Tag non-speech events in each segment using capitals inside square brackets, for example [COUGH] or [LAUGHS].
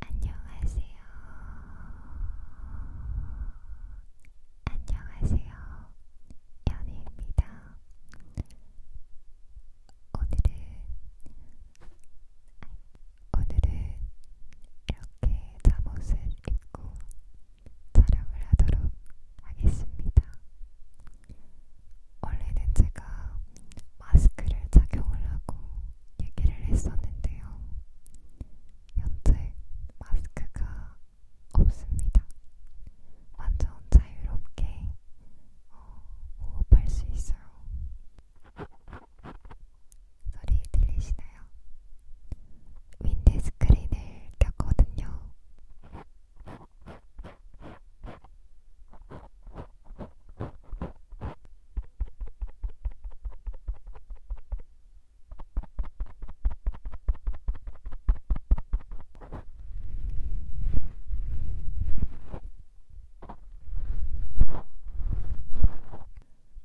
안녕하세요. 안녕하세요. 연희입니다. 오늘은 오늘은 이렇게 잠옷을 입고 촬영을 하도록 하겠습니다. 원래는 제가 마스크를 착용을 하고 얘기를 했었는데요. 현재 마스크가 없습니다. 완전 자유롭게 어, 호흡할 수 있어요. 소리 들리시나요? 윈드스크린을 꼈거든요.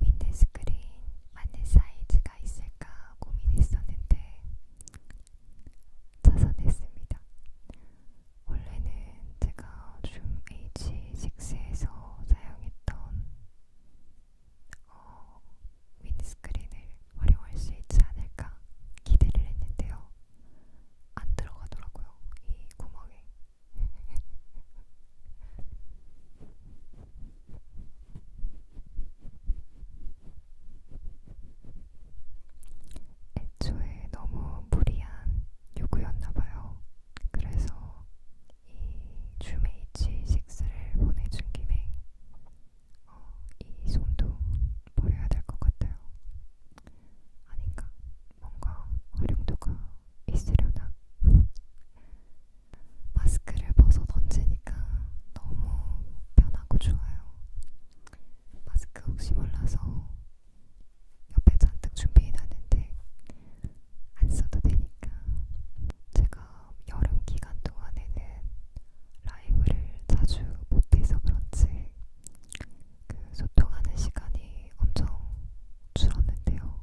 윈드스크린 맞는 사이즈가 있을까 고민했었는데 찾아냈습니다. 원래는 제가 줌 H6에서 사용했던 어, 윈스크린을 활용할 수 있지 않을까 기대를 했는데요. 안 들어가더라고요. 이 구멍에. 애초에 너무 무리한 요구였나봐요. 그래서 이 주메이치 6를 보내준 김에 어, 이 손도 버려야 될 것 같아요. 아닌가? 뭔가 활용도가 있으려나? 마스크를 벗어 던지니까 너무 편하고 좋아요. 마스크 혹시 몰라서 옆에 잔뜩 준비해놨는데 안 써도 되니까 제가 여름 기간 동안에는 라이브를 자주 못해서 그런지 그 소통하는 시간이 엄청 줄었는데요.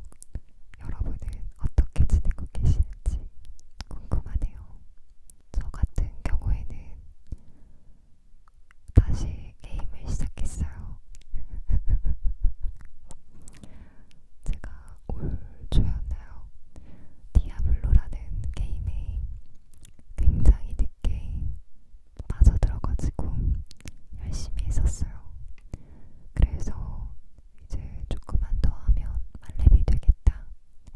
여러분은 어떻게 지내고 계시는지 궁금하네요. 저 같은 경우에는 다시 게임을 시작했어요. [LAUGHS] 제가 올 초였나요? 디아블로라는 게임에 굉장히 늦게 빠져들어가지고 열심히 했었어요. 그래서 이제 조금만 더 하면 만렙이 되겠다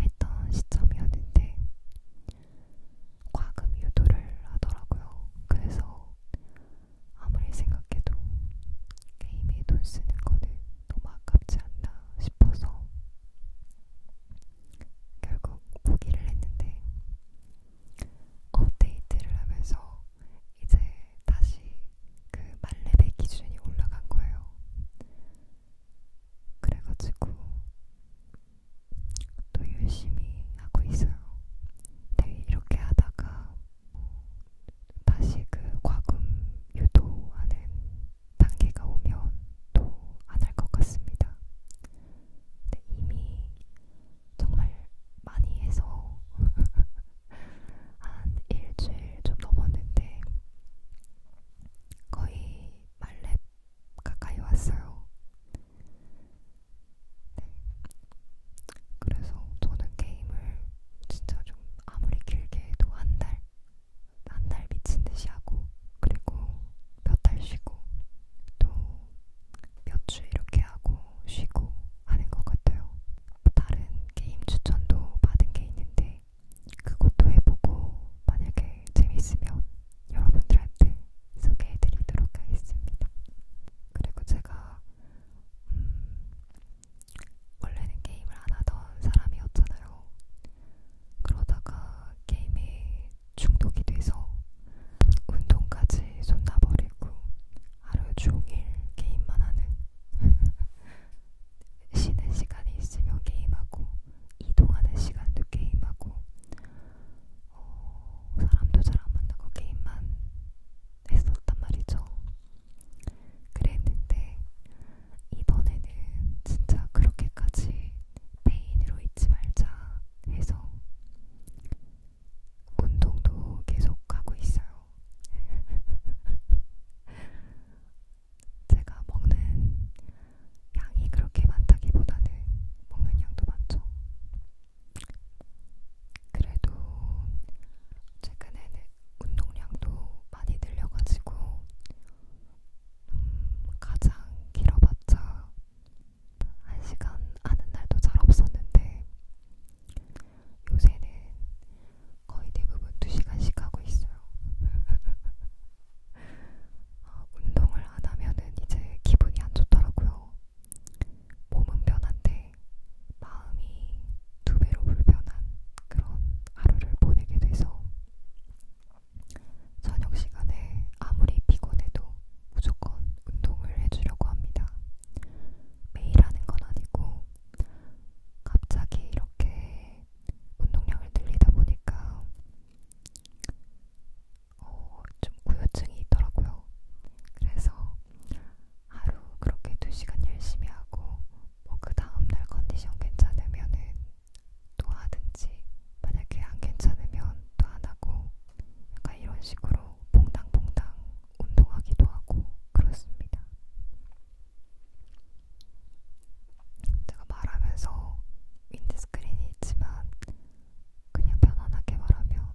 했던 시점이었는데 과금 유도를 하더라고요. 그래서 아무리 생각해도 게임에 돈 쓰는 거는 너무 아깝지 않나 싶어서 결국 포기를 했는데 업데이트를 하면서 이제 다시 그 만렙의 기준이 올라간 거예요. 그래가지고 또 열심히 하고 있어요. 네, 이렇게 하다가 뭐 다시 그 과금 유도하는 단계가 오면 또 안 할 것 같습니다. 네, 이미 정말 많이 해서 [LAUGHS] 한 일주일 좀 넘었는데 거의 말렙 가까이 왔어요. 그래서 저는 게임을 진짜 좀 아무리 길게 해도 한 달, 한 달 미친 듯이 하고, 그리고 몇 달 쉬고, 또 몇 주 이렇게 하고, 쉬고 하는 것 같아요. 다른 게임 추천도 받은 게 있는데, 그것도 해보고, 만약에 재밌으면 여러분들한테 소개해드리도록 하겠습니다. 그리고 제가 음, 원래는 게임을 안 하던 사람이었잖아요. 그러다가 게임에 중독이 돼서 운동까지 손놔버리고 하루 종일 게임만 하는 [LAUGHS] 쉬는 시간이 있으면 게임하고 이동하는 시간도 게임하고 어, 사람도 잘 안 만나고 게임만 했었단 말이죠. 그랬는데 이번에는 진짜 그렇게까지 페인으로 잊지 말자 해서 운동도 계속 하고 있어요. [LAUGHS] 제가 먹는 양이 그렇게 많다기보다는 먹는 양도 많죠. 그래도 최근에는 운동량도 많이 늘려가지고 음, 가장 길어봤자 1시간 하는 날도 잘 없었는데 요새는 거의 대부분 2시간씩 하고 있어요. [LAUGHS] 어, 운동을 안 하면은 이제 기분이 안 좋더라고요. 몸은 변한데 마음이 두 배로 불편한 그런 하루를 보내게 돼서 저녁 시간에 아무리 피곤해도 무조건 운동을 해주려고 합니다. 매일 하는 건 아니고 갑자기 이렇게 운동량을 늘리다 보니까 어, 좀 우울증이 있더라고요. 그래서 하루 그렇게 2시간 열심히 하고 뭐그 다음날 컨디션 괜찮으면은 또 하든지 만약에 안 괜찮으면 또 안 하고 약간 이런 식으로 봉당봉당 운동하기도 하고 그렇습니다. 제가 말하면서 윈드스크린이 있지만 그냥 편안하게 말하면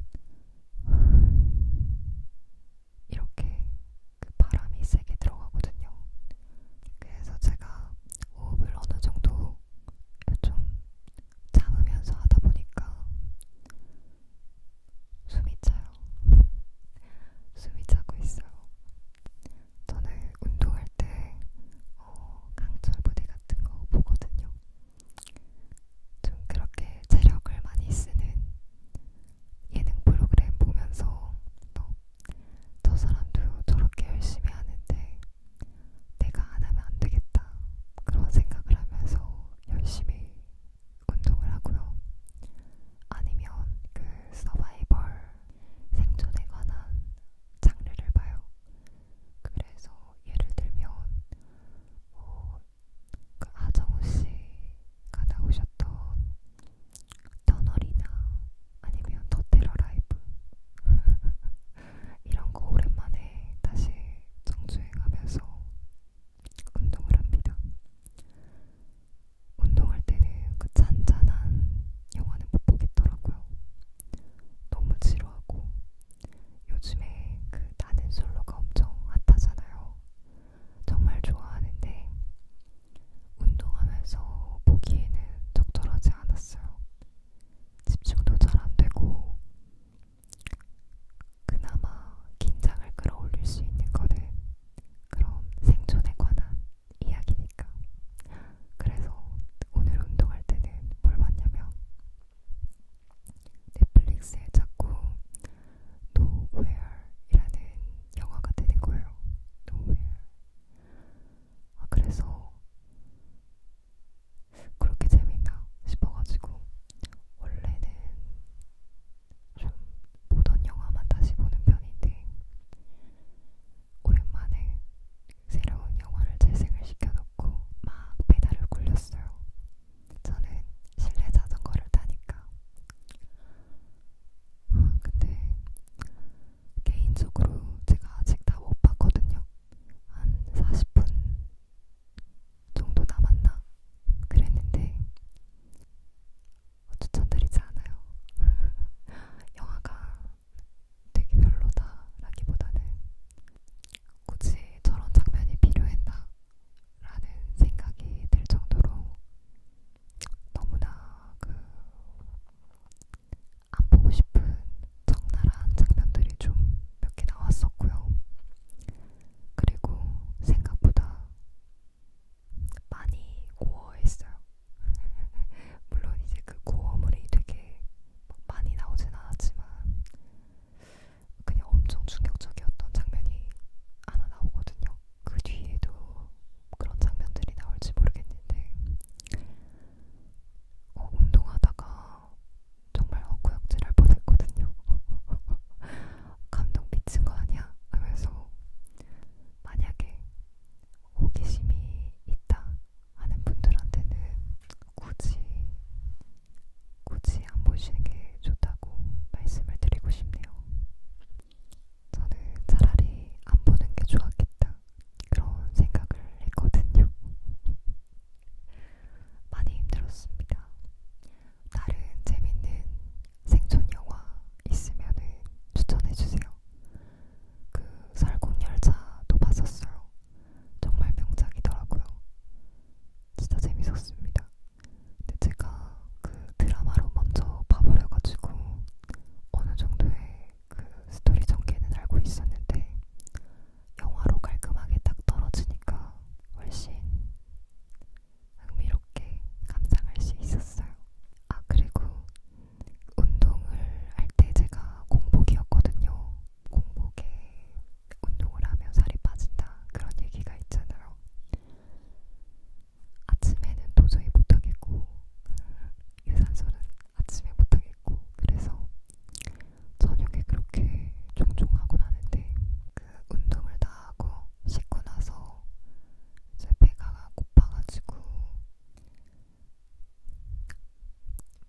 이렇게 그 바람이 세게 들어가거든요. 그래서 제가 호흡을 어느 정도 좀 참으면서 하다 보니까 숨이 차요. 숨이 차고 있어요. 저는 운동할 때 어, 강철 부대 같은 거 보거든요. 좀 그렇게 체력을 많이 쓰는 예능 프로그램 보면서 또 저 사람도 저렇게 열심히 하는데 내가 안 하면 안 되겠다 그런 생각을 하면서 열심히 운동을 하고요. 아니면 그 서바이벌 생존에 관한 장르를 봐요. 그래서 예를 들면 뭐, 그 아정우 씨가 나오셨던 터널이나 아니면 더 테러 라이브 [LAUGHS] 이런 거 오랜만에 다시 정주행하면서 운동을 합니다. 운동할 때는 그 잔잔한 영화는 못 보겠더라고요. 너무 지루하고 요즘에 그 나는 솔로가 엄청 핫하잖아요. 정말 좋아하는데 운동하면서 보기에는 적절하지 않았어요. 집중도 잘 안 되고 그나마 긴장을 끌어올릴 수 있는 거는 그런 생존에 관한 이야기니까. 그래서 오늘 운동할 때는 뭘 봤냐면 넷플릭스에 자꾸 Nowhere이라는 영화가 뜨는 거예요. Nowhere. 아, 그래서 그렇게 재밌나 싶어가지고 원래는 좀 보던 영화만 다시 보는 편인데 오랜만에 새로운 영화를 재생을 시켜서 놓고 막 페달을 굴렸어요. 저는 실내 자전거를 타니까. 근데 개인적으로 제가 아직 다 못 봤거든요. 한 40분 정도 남았나? 그랬는데 추천드리지 않아요. [LAUGHS] 영화가 되게 별로다라기보다는 굳이 저런 장면이 필요했나? 라는 생각이 들 정도로 너무나 그 안 보고 싶은 적나라한 장면들이 좀 몇 개 나왔었고요. 그리고 생각보다 많이 고어했어요. [LAUGHS] 물론 이제 그 고어물이 되게 많이 나오진 않았지만 그냥 엄청 충격적이었던 장면이 하나 나오거든요. 그 뒤에도 그런 장면들이 나올지 모르겠는데 어, 운동하다가 정말 헛구역질 할 뻔했거든요. 감동 미친 거 아니야? 하면서 만약에 호기심이 있다 하는 분들한테는 굳이 굳이 안 보시는 게 좋다고 말씀을 드리고 싶네요. 저는 차라리 안 보는 게 좋았겠다 그런 생각을 했거든요. [LAUGHS] 많이 힘들었습니다. 다른 재밌는 생존 영화 있으면은 추천해주세요. 그 설국열차도 봤었어요. 정말 명작이더라고요. 진짜 재밌었습니다. 근데 제가 그 드라마로 먼저 봐버려가지고 어느 정도의 그 스토리 전개는 알고 있었는데 영화로 깔끔하게 딱 떨어지니까 훨씬 흥미롭게 감상할 수 있었어요. 아 그리고 운동을 할 때 제가 공복이었거든요. 공복에 운동을 하면 살이 빠진다 그런 얘기가 있잖아요. 아침에는 도저히 못하겠고 유산소는 아침에 못하겠고 그래서 저녁에 그렇게 종종 하곤 하는데 그 운동을 다 하고 씻고 나서 이제 배가 고파가지고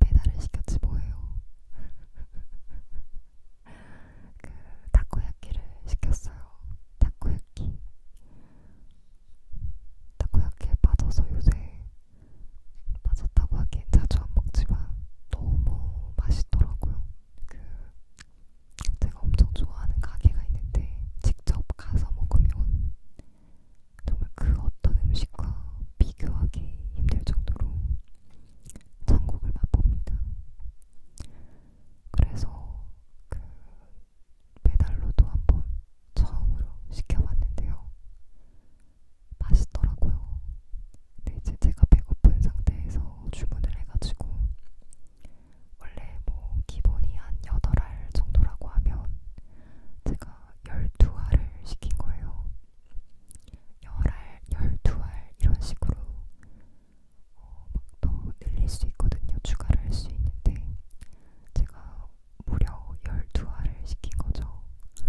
배달을 시켰지 뭐예요. [LAUGHS] 그 타코야키를 시켰어요. 타코야키. 타코야키에 빠져서 요새 빠졌다고 하기엔 자주 안 먹지만 너무 맛있더라고요. 그 제가 엄청 좋아하는 가게가 있는데 직접 가서 먹으면 정말 그 어떤 음식과 비교하기 힘들 정도로 전곡을 맛봅니다. 그래서 그 배달로도 한번 처음으로 시켜봤는데요. 맛있더라고요. 근데 이제 제가 배고픈 상태에서 주문을 해가지고 원래 뭐 기본이 한 8알 정도라고 하면 제가 12알을 시킨 거예요. 열알, 열 두알 이런 식으로 어, 막더 늘릴 수 있거든요. 추가를 할 수 있는데 제가 무려 열 두 알을 시킨 거죠. 제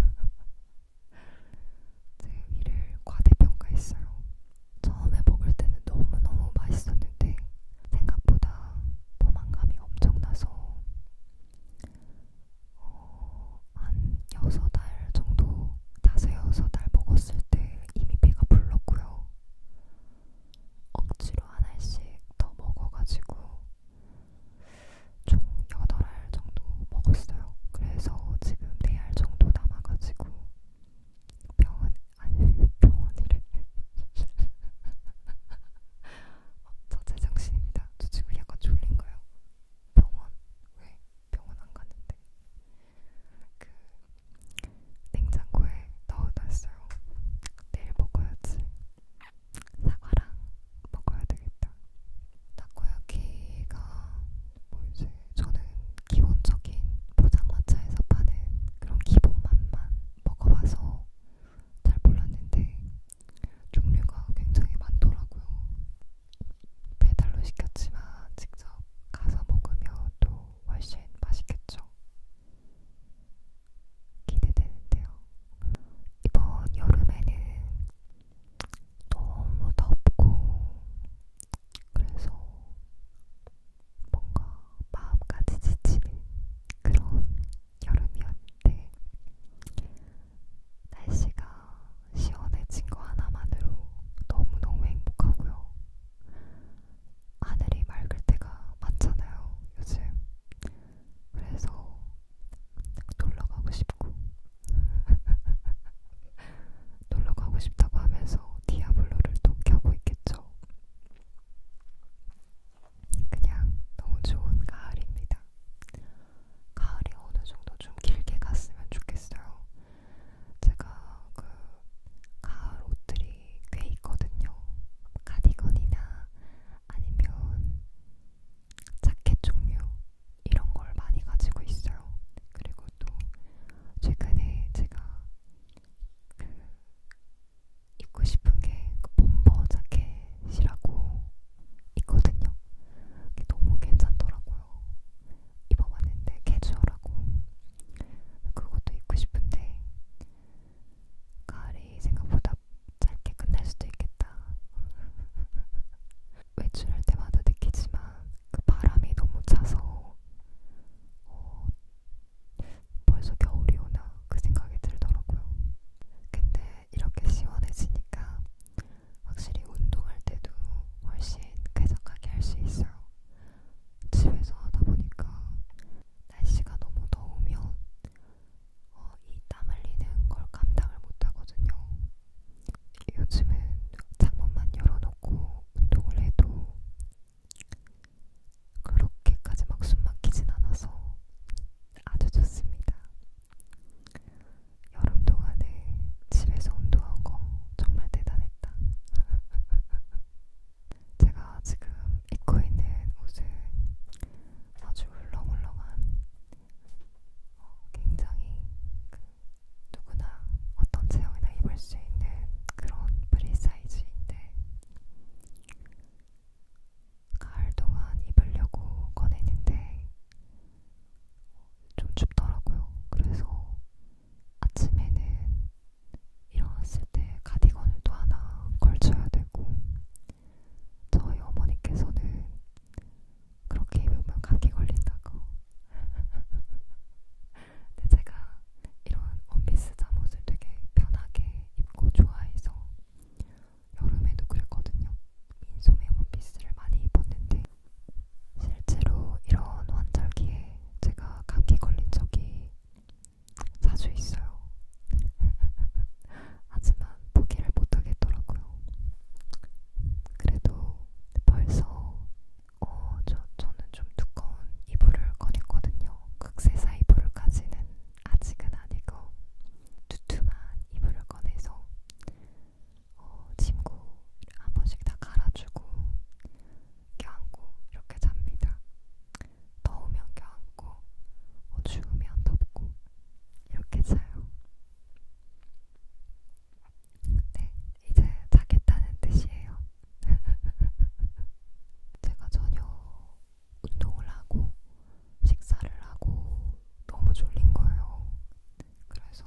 [LAUGHS] 위를 네, 과대평가했어요. 처음에 먹을 때는 너무너무 맛있었는데 생각보다 포만감이 엄청나서 어, 한 6달 정도, 5, 6달 먹었을 때 이미 배가 불렀고요. 억지로 하나씩 더 먹어가지고 총 8알 정도 먹었어요. 그래서 지금 4알 정도 남아가지고 병원, 아니 [LAUGHS] 병원이래. [LAUGHS] 어, 저 제정신입니다. 저 지금 약간 졸린 거예요. 병원 왜 병원 안 갔는데 그 냉장고에 넣어놨어요. 내일 먹어야지. 사과랑 먹어야 되겠다. 타코야키가 뭐지? 저는 기본적인 포장마차에서 파는 그런 기본 맛만 먹어봐서 잘 몰랐는데 종류가 굉장히 많더라고요. 배달로 시켰지만 직접 가서 먹으면 또 훨씬 맛있겠죠. 기대되는데요. 이번 여름에는 너무 덥고 그래서 뭔가 마음까지 지치는 그런 여름이었는데 날씨가 시원해진 거 하나만으로 너무너무 행복하고요. 하늘이 맑을 때가 많잖아요, 요즘. 그래서 놀러 가고 싶고. [LAUGHS] 놀러 가고 싶다고 하면서 디아블로를 또 켜고 있겠죠. 그냥 너무 좋은 가을입니다. 가을이 어느 정도 좀 길게 갔으면 좋겠어요. 제가 그 가을 옷들이 꽤 있거든요. 가디건이나 아니면 자켓 종류 이런 걸 많이 가지고 있어요. 그리고 또 최근에 제가 그 입고 싶은 게 그 봄버 자켓이라고 있거든요. 이게 너무 괜찮더라고요. 입어봤는데 캐주얼하고 그것도 입고 싶은데 가을이 생각보다 짧게 끝날 수도 있겠다. [LAUGHS] 외출할 때마다 느끼지만 그 바람이 너무 차서 어, 벌써 겨울이 오나 그 생각이 들더라고요. 근데 이렇게 시원해지니까 확실히 운동할 때도 훨씬 쾌적하게 할 수 있어요. 집에서 하다 보니까 날씨가 너무 더우면 어, 이땀 흘리는 걸 감당을 못 하거든요. 요즘은 창문만 열어놓고 운동을 해도 그렇게까지 막 숨 막히진 않아서 아주 좋습니다. 여름 동안에 집에서 운동한 거 정말 대단했다. [LAUGHS] 제가 지금 입고 있는 옷은 아주 울렁울렁한 어, 굉장히 그 누구나 어떤 체형이나 입을 수 있는 그런 프리 사이즈인데 가을 동안 입으려고 꺼냈는데 좀 춥더라고요. 그래서 아침에는 일어났을 때 가디건을 또 하나 걸쳐야 되고, 저희 어머니께서는 그렇게 입으면 감기 걸린다고. [LAUGHS] 근데 제가 이런 원피스 잠옷을 되게 편하게 입고 좋아해서 여름에도 그랬거든요. 민소매 원피스를 많이 입었는데 실제로 이런 환절기에 제가 감기 걸린 적이 자주 있어요. [LAUGHS] 하지만 포기를 못하겠더라고요. 그래도 벌써 어, 저, 저는 좀 두꺼운 이불을 꺼냈거든요. 극세사 이불까지는 아직은 아니고 두툼한 이불을 꺼내서 어, 침구를 한 번씩 다 갈아주고 껴안고 이렇게 잡니다. 더우면 껴안고 어, 추우면 덮고 이렇게 자요. 네, 이제 자겠다는 뜻이에요. [LAUGHS] 제가 전혀 운동을 하고 식사를 하고 너무 졸린 거예요. 그래서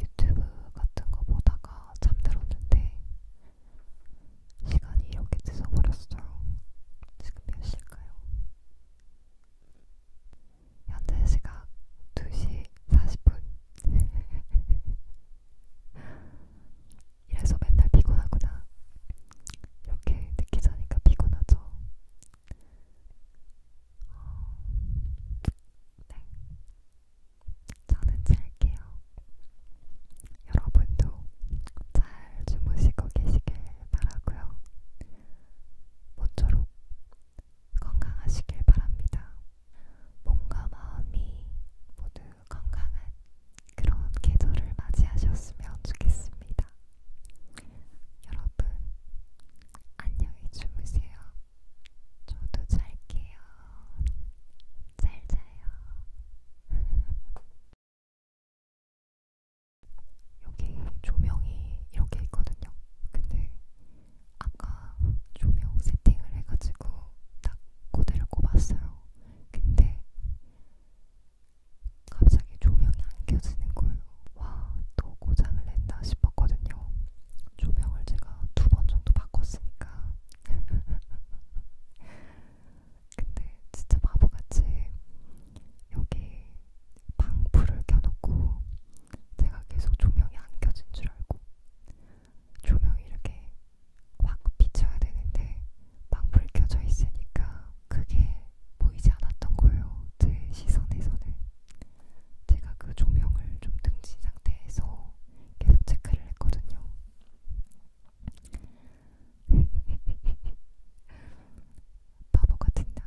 유튜브 같은 거 보다가 잠들었는데 시간이 이렇게 늦어버렸어요. 지금 몇 시일까요? 현재 시각 2시 40분. [LAUGHS] 이래서 맨날 피곤하구나. 이렇게 늦게 자니까 피곤하죠. 어, 네, 저는 잘게요. 여러분도 잘 주무시고 계시길 바라고요. 모쪼록 건강하시길 바랍니다. 몸과 마음이 모두 건강한 그런 계절을 맞이하셨으면 좋겠습니다. 여러분, 안녕히 주무세요. 저도 잘게요. 잘 자요. [LAUGHS] 여기 조명이 이렇게 있거든요. 근데 아까 조명 세팅을 해가지고 딱 고데를 꼽았어요. 근데 갑자기 조명이 안 켜지는 거예요. 와, 또 고장을 냈나 싶었거든요. 조명을 제가 두 번 정도 바꿨으니까. [LAUGHS] 근데 진짜 바보같이 여기 방불을 켜놓고 제가 계속 조명이 안 켜진 줄 알고 조명이 이렇게 확 비춰야 되는데 방 불 켜져 있으니까 그게 보이지 않았던 거예요. 제 시선에서는. 제가 그 조명을 좀 등진 상태에서 계속 체크를 했거든요. [LAUGHS] 바보 같은 나.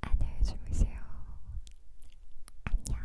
안녕히 주무세요. 안녕.